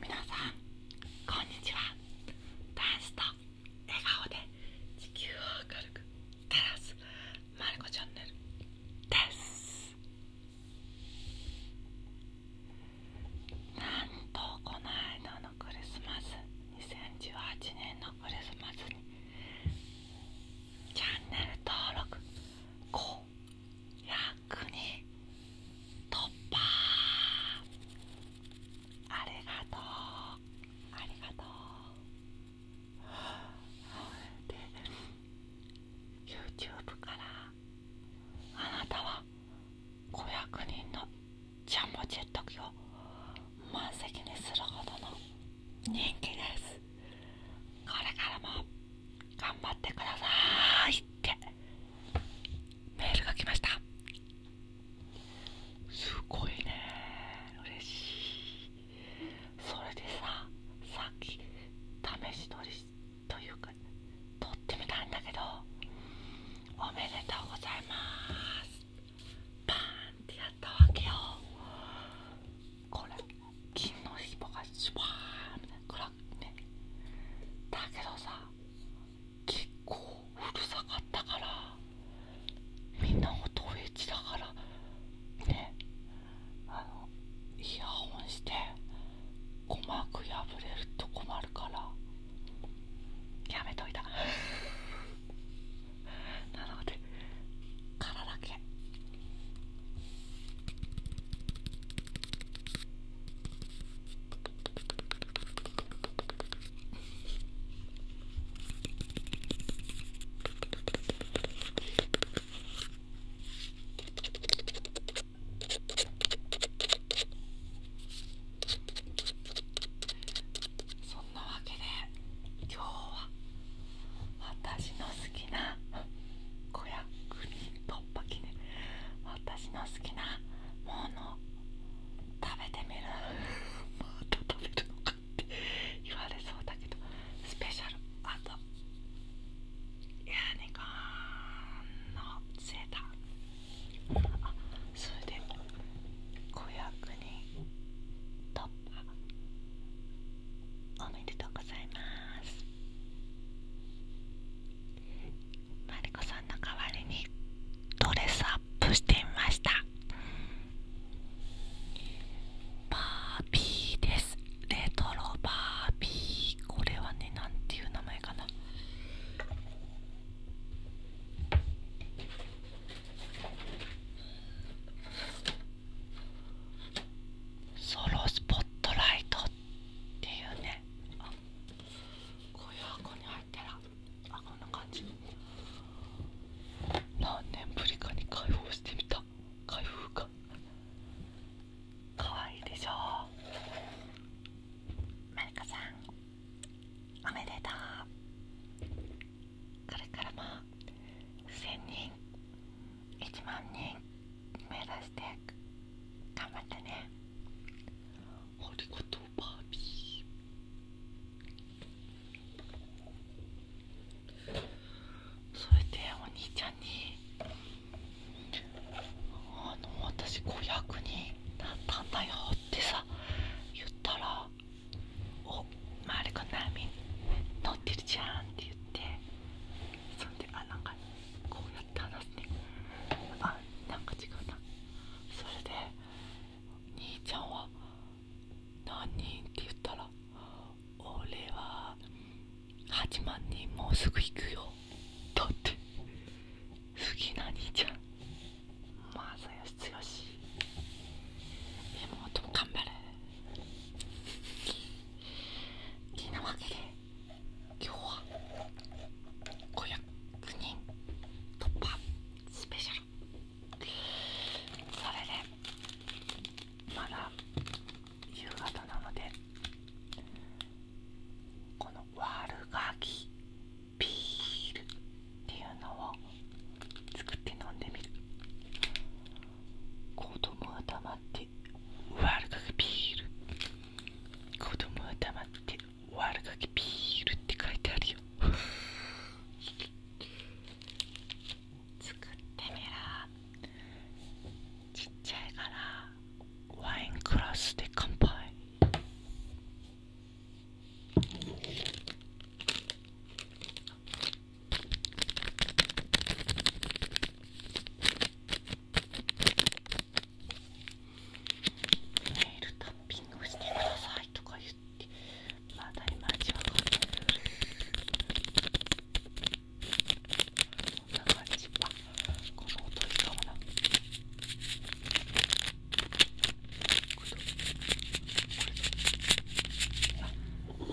皆さんこんにちはダンスと笑顔で地球を明るく照らすまるこチャンネルですなんとこの間のクリスマス2018年のクリスマスにチャンネル登録高役に突破ありがとうありがとうで YouTube からあなたは500人のジャンボジェット機を満席にするほどの人気ですこれからも頑張ってくださいってメールが来ましたすごいね嬉しいそれでささっき試し撮りというか撮ってみたんだけどおめでとうございますバーンってやったわけよこれ金のひぼがシュワーみたいなグラねだけどさ結構うるさかったからみんな音エッチだからねあのイヤホンして鼓膜破れると困るからやめといた なので殻だけそんなわけで今日は私の好きな子役人ととっぱきね私の好きなもの食べてみるまた 食べるのかって言われそうだけどスペシャルあとヤニコンのセータあそれで500人突破おめでとうございますマリコさんの代わりにドレスアップしてみましたバービーですレトロバービーこれはねなんていう名前かなソロスポットライトっていうねあこういう箱に入ったらあこんな感じ何年ぶりかに開放してみた開封かかわいいでしょう。まりかさんおめでとうこれからも1000人1万人目指して頑張ってねありがとうバービーそれでお兄ちゃんにあの私子役になったってさ言ったら「おっ周りくん波乗ってるじゃん」って言ってそんであなんかこうやって話すねあなんか違うなそれで兄ちゃんは何人って言ったら俺は8万人もうすぐ行くよだって好きな兄ちゃんまさよしつよし妹も頑張れ好きなわけで今日は500人突破スペシャルそれでまだ夕方なのでこの悪ガキビールっていうのを作って飲んでみる子供が黙って悪ガキビール子供は黙って悪ガキビールって書いてあるよ作ってみろ。ちっちゃいからワインクラスで乾杯ネイルタッピングしてくださいとか言ってまだいまいちわかんないこんな感じあこの音いいかもなあ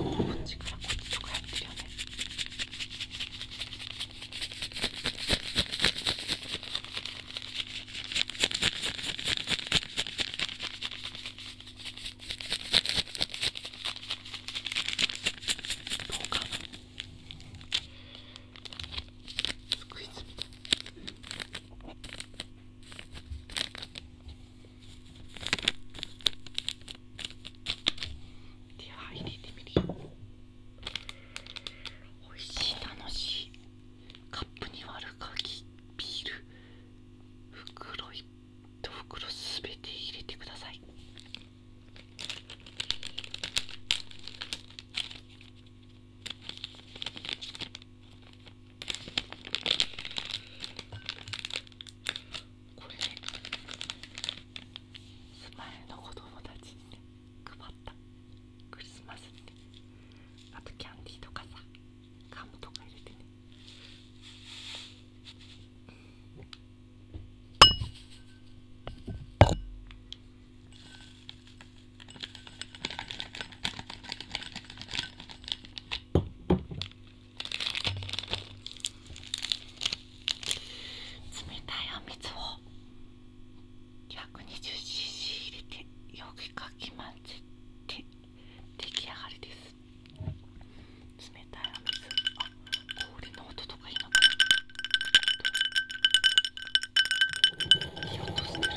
こっちかこっちとかやってるよねどうかなスクイズみたいでは入れてみおいしい楽しいカップに割る鍵ビール袋1袋すべて入れてくださいこれスマルの子供たちね配ったクリスマスにねあとキャンディーとかさカムとか入れてね冷たいあみつを 120cc 入れてよくかき混ぜて出来上がりです冷たいお水あ氷の音とかいいのかないい音してるこ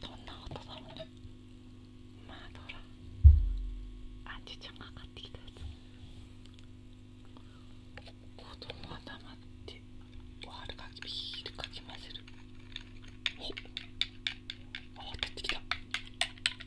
どんな音だろうねまどうあじちゃんが買ってきたやつ子供は黙っておはるかきビールかき混ぜるほっあ渡ってきた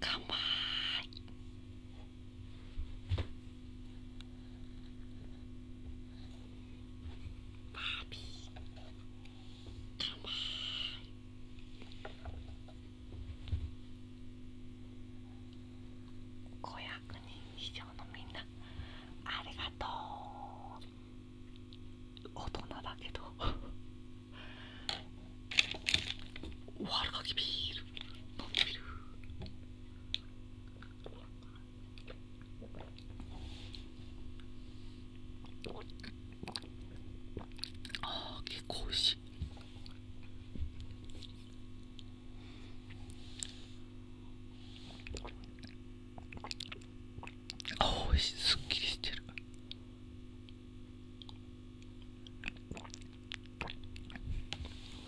かまいバービーかまい500人以上のみんなありがとう大人だけどおはるかビール飲んでみるああ結構おいしいあ、美味しい。すっきりしてる。美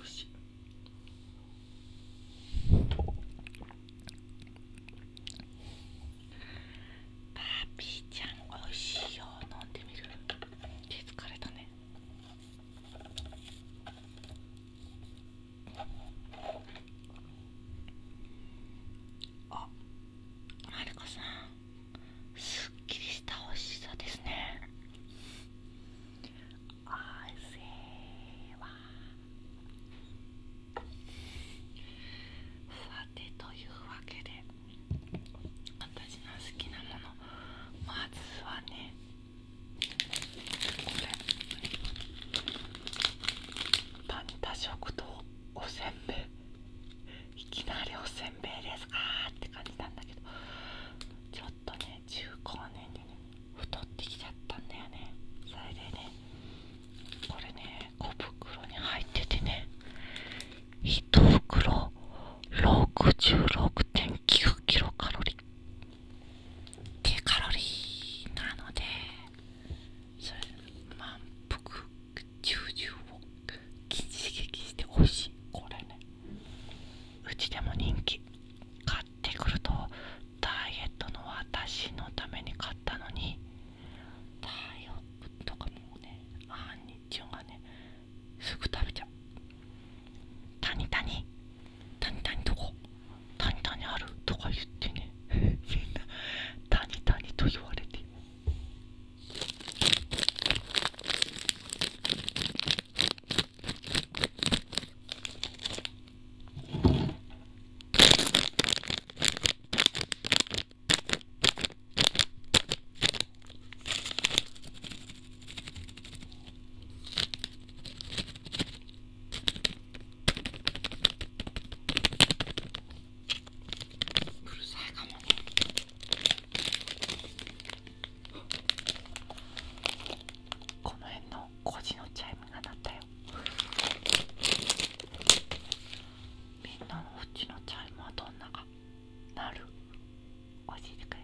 味しい。パピーちゃん、美味しいよ。飲んでみる。手疲れたね。あマるコさんすっきりしたお味しさですねあせーわさてというわけで私の好きなものまずはねこれパンタ食堂おせんべいきなりおせんべいですか？って感じなんだけどちょっとね中高年でね太ってきちゃったんだよねそれでねこれね小袋に入っててね1袋 66.9kcal キロ低カロリーなのでそれ満腹中々を刺激して欲しいこれねうちでも人気買ってくるとダイエットの私のために買ったのにタイエップとかもねあんにちゅんがねすぐ食べちゃうタニタニタニタニどこ「何々ある?」とか言ってね みんな「何々」と言われて うるさいかもねこの辺の工事のチャイムが鳴ったよみんなのうちのチャイムはどんなか。なる教えてくれ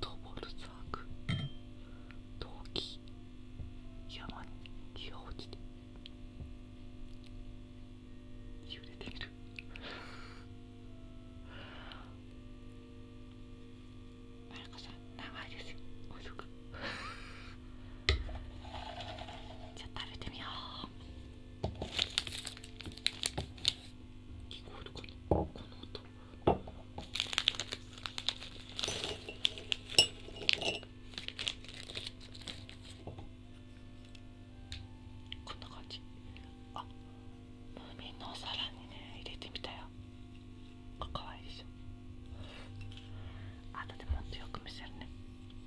トボルザーク陶器山に木が落ちて揺れているマルコさん長いですよ遅くじゃ食べてみよう聞こえるかなこの音こんな感じあムーの皿にね入れてみたよかわいいでしょ後でもっとよく見せるね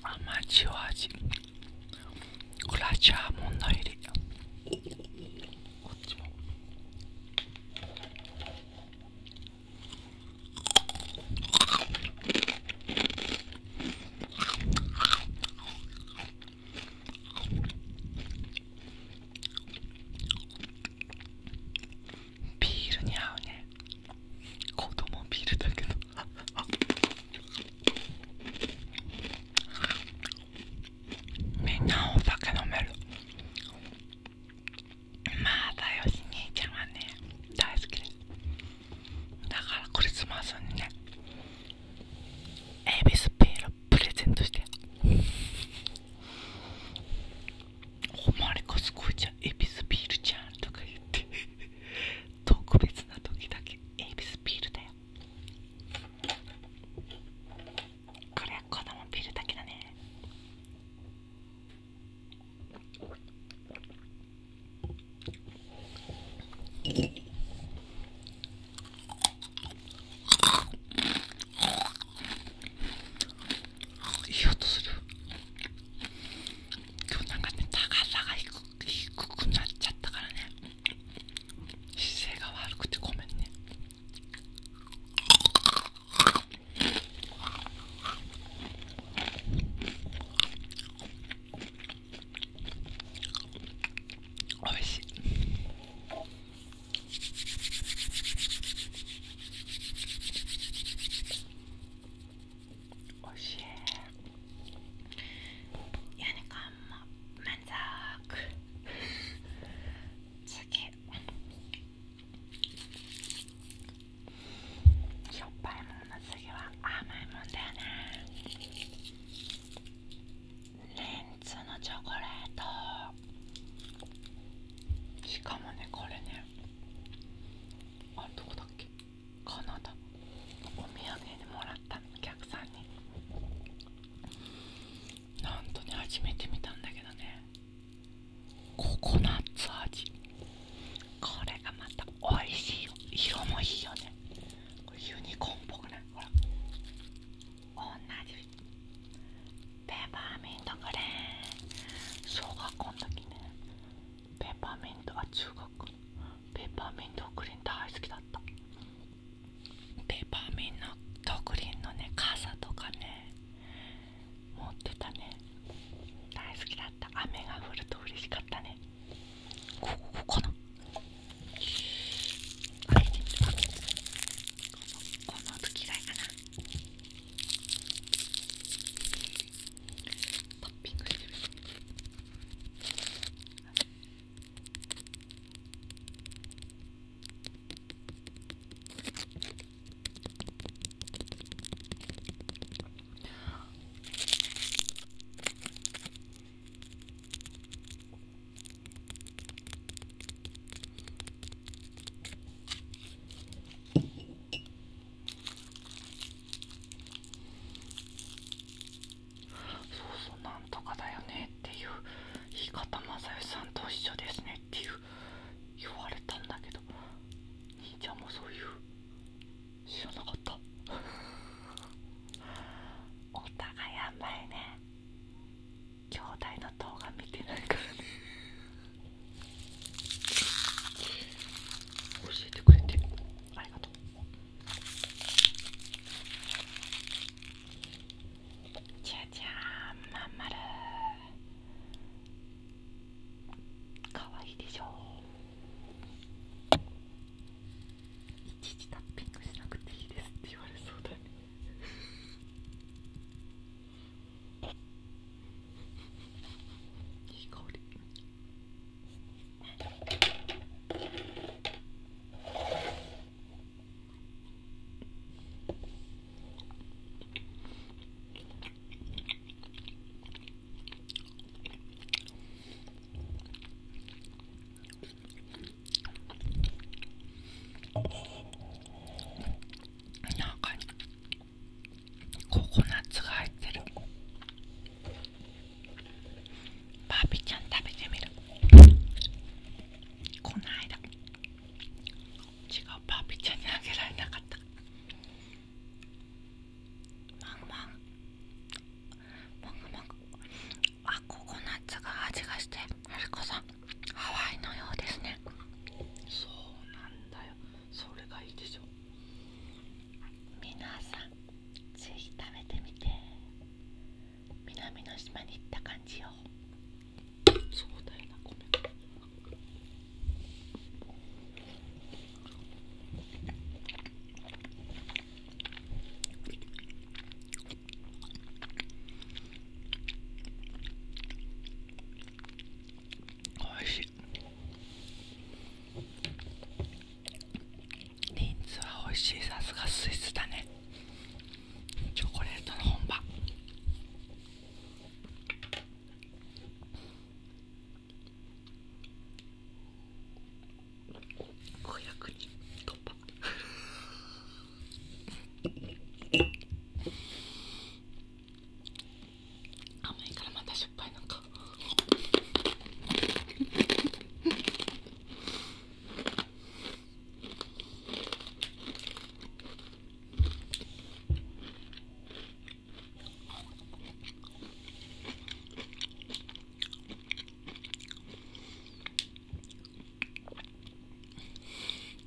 甘塩味これはジャーモンの入りこっちもビールに合うね子供ビあ、みんなお酒飲めるまだよし兄ちゃんはね大好きですだからクリスマスにねエビスピールプレゼントしておまりこすごいじゃエビスピールじゃんとか言って特別な時だけエビスビールだよこれは子供ビールだけだねいい音する今日なんかね高さがく。低くなっちゃったからね姿勢が悪くてごめんねおいしい وشيء يعني قمة من しょっぱいものの次は甘いもんだよねレンズのチョコレートしかもねこれねあれどこだっけこのとお土産にもらったお客さんになんとね初めて見たんだけどねココナッツ味これがまたおいしいよ色もいいよねこれユニコーンっぽくないほら同じペパーミントグレー小学校の時ねペーパーミントは中学国ペーパーミントクリーン大好きだったペーパーミントクリーンのね傘とかね持ってたね大好きだった雨が降ると嬉しかったねこここのこの時がいかなトッピングしてみてそうそうなんとかだよねっていう言い方雅代さんと一緒ですねっていう言われたんだけど兄ちゃんもそういう知らなかったお互いやばいね兄弟の動画見てないからね教えてくれてありがとうじゃじゃんまんまるかわいいでしょいちいちタッピングしなくていいですって言われそうだねいい香り中にココナッツが入ってる。バービーちゃん食べてみるこの間違うバービーちゃんにあげられなかったマンマンマンマンあココナッツが味がしてはるこさんハワイのようですねそうなんだよそれがいいでしょ皆さんぜひ食べてみて南の島に行った感じよ壮大な米おいしいリンツは美味しいさすがスイスだねチョコレートの本場500人突破甘いからまたしょっぱか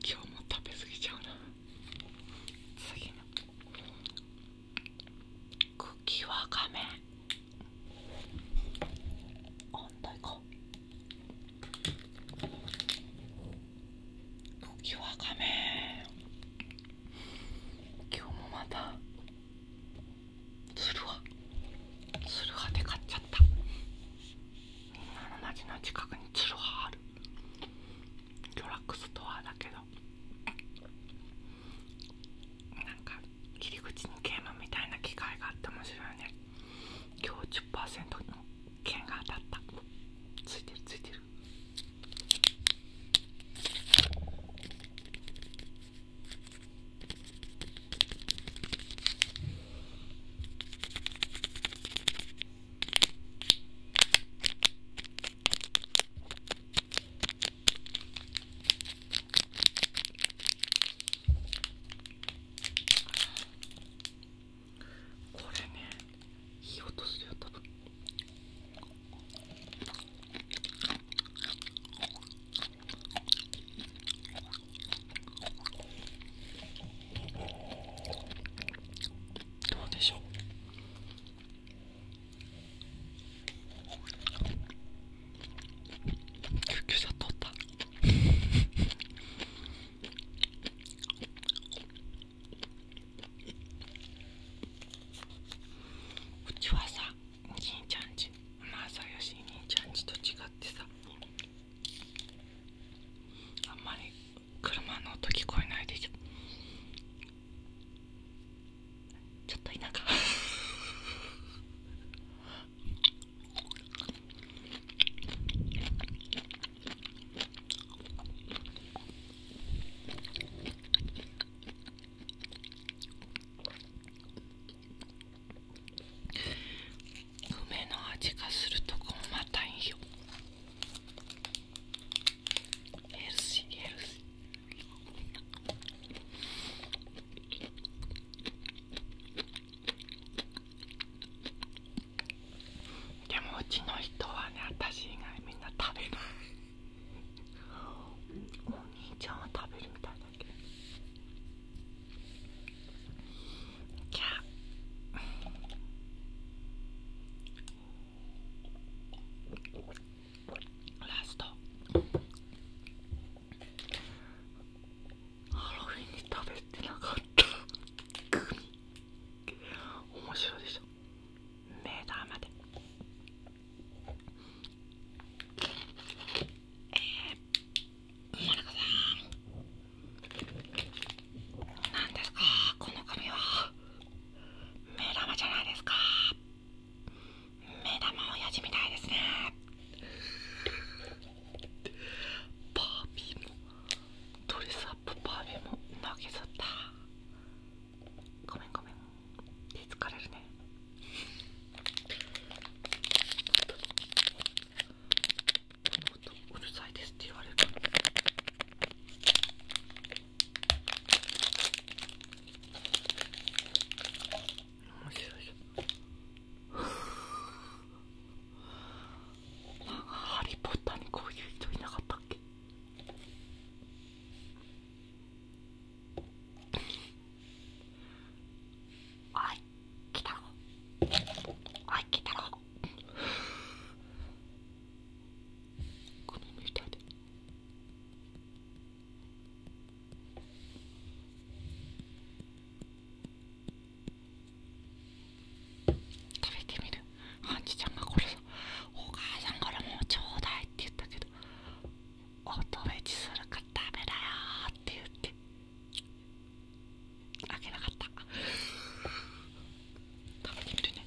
今日も食べ過ぎちゃうな次のクッキーはあ茎わかめ反対か茎わかめ今日もまたつるはつるはで買っちゃったみんなの街の近くにつるはある魚楽ストアだけどなんか切り口に桂馬みたいな機械があって面白いよね今日10%の剣が当たったついてるついてるこれねいい音するよ多分どうでしょう救急車通ったうちはさおじいちゃんちまあさよし兄ちゃんちと違ってさあんまり車の音聞こえないでしょ。ちょっと田舎梅の味がするとこもまたいいよヘルシーヘルシーでもうちの人はね私以外みんな食べないお兄ちゃんは食べるみたいだけどじゃあラストハロウィンに食べてなかったグミ面白いでしょ目玉でえー、もなかさん何ですかこの髪は目玉じゃないですか目玉親父みたいですねパービーもドレスアップパービーも投げ去ったごめんごめん手疲れるねこの音うるさいですって言われるハリー・ポッターにこういう人いなかったっけあい来たろあい来たろこの食べてみるハンチちゃんがこれお母さんからもうちょうだいって言ったけどおとべちするかダメだよって言ってあげなかった食べてみるね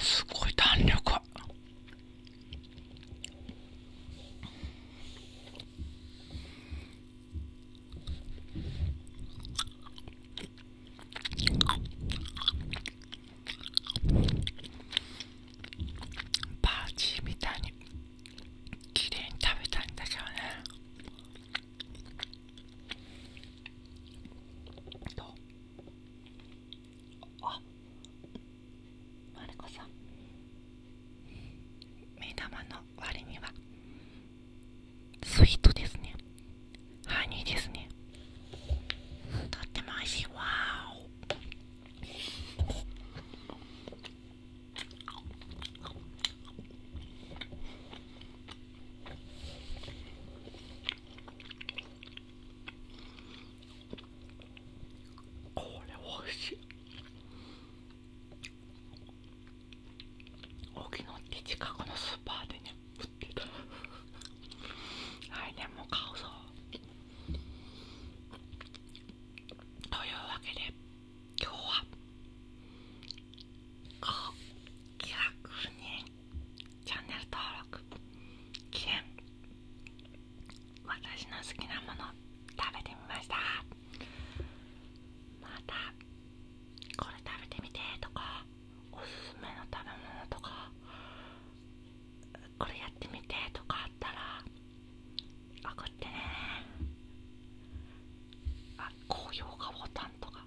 すごい弾力パーチーみたいに綺麗に食べたいんだけどねとあマリコさん目玉の割にはスイートですねハニーですねとっても美味しいわこれ美味しい大沖野って近くのスーパーでね売ってる。はい、でも買うぞというわけで今日はこう気楽にチャンネル登録記念私の好きなもの食べてみましたまたこれ食べてみてとかおすすめの食べ物とかこれやってみてとかあったら分かってねあ高評価ボタンとか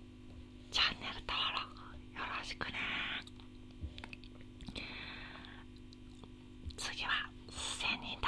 チャンネル登録よろしくね次は1000人だ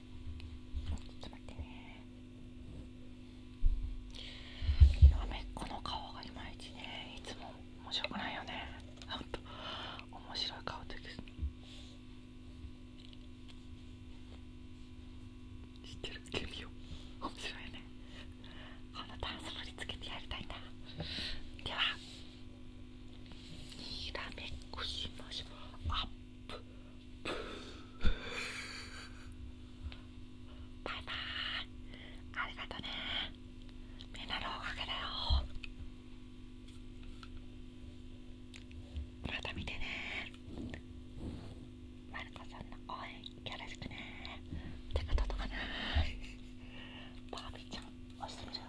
ちょっと待ってねなめっこの顔がいまいちねいつも面白くないよねほんと面白い顔です知ってるケミオ面白いねこのダンス振りつけてやりたいな。ではひらめっこしましょうアップバイバイありがとねみんなのおかげだよまた見てねまるこさんの応援よろしくね手が届かなバービーちゃん押してみる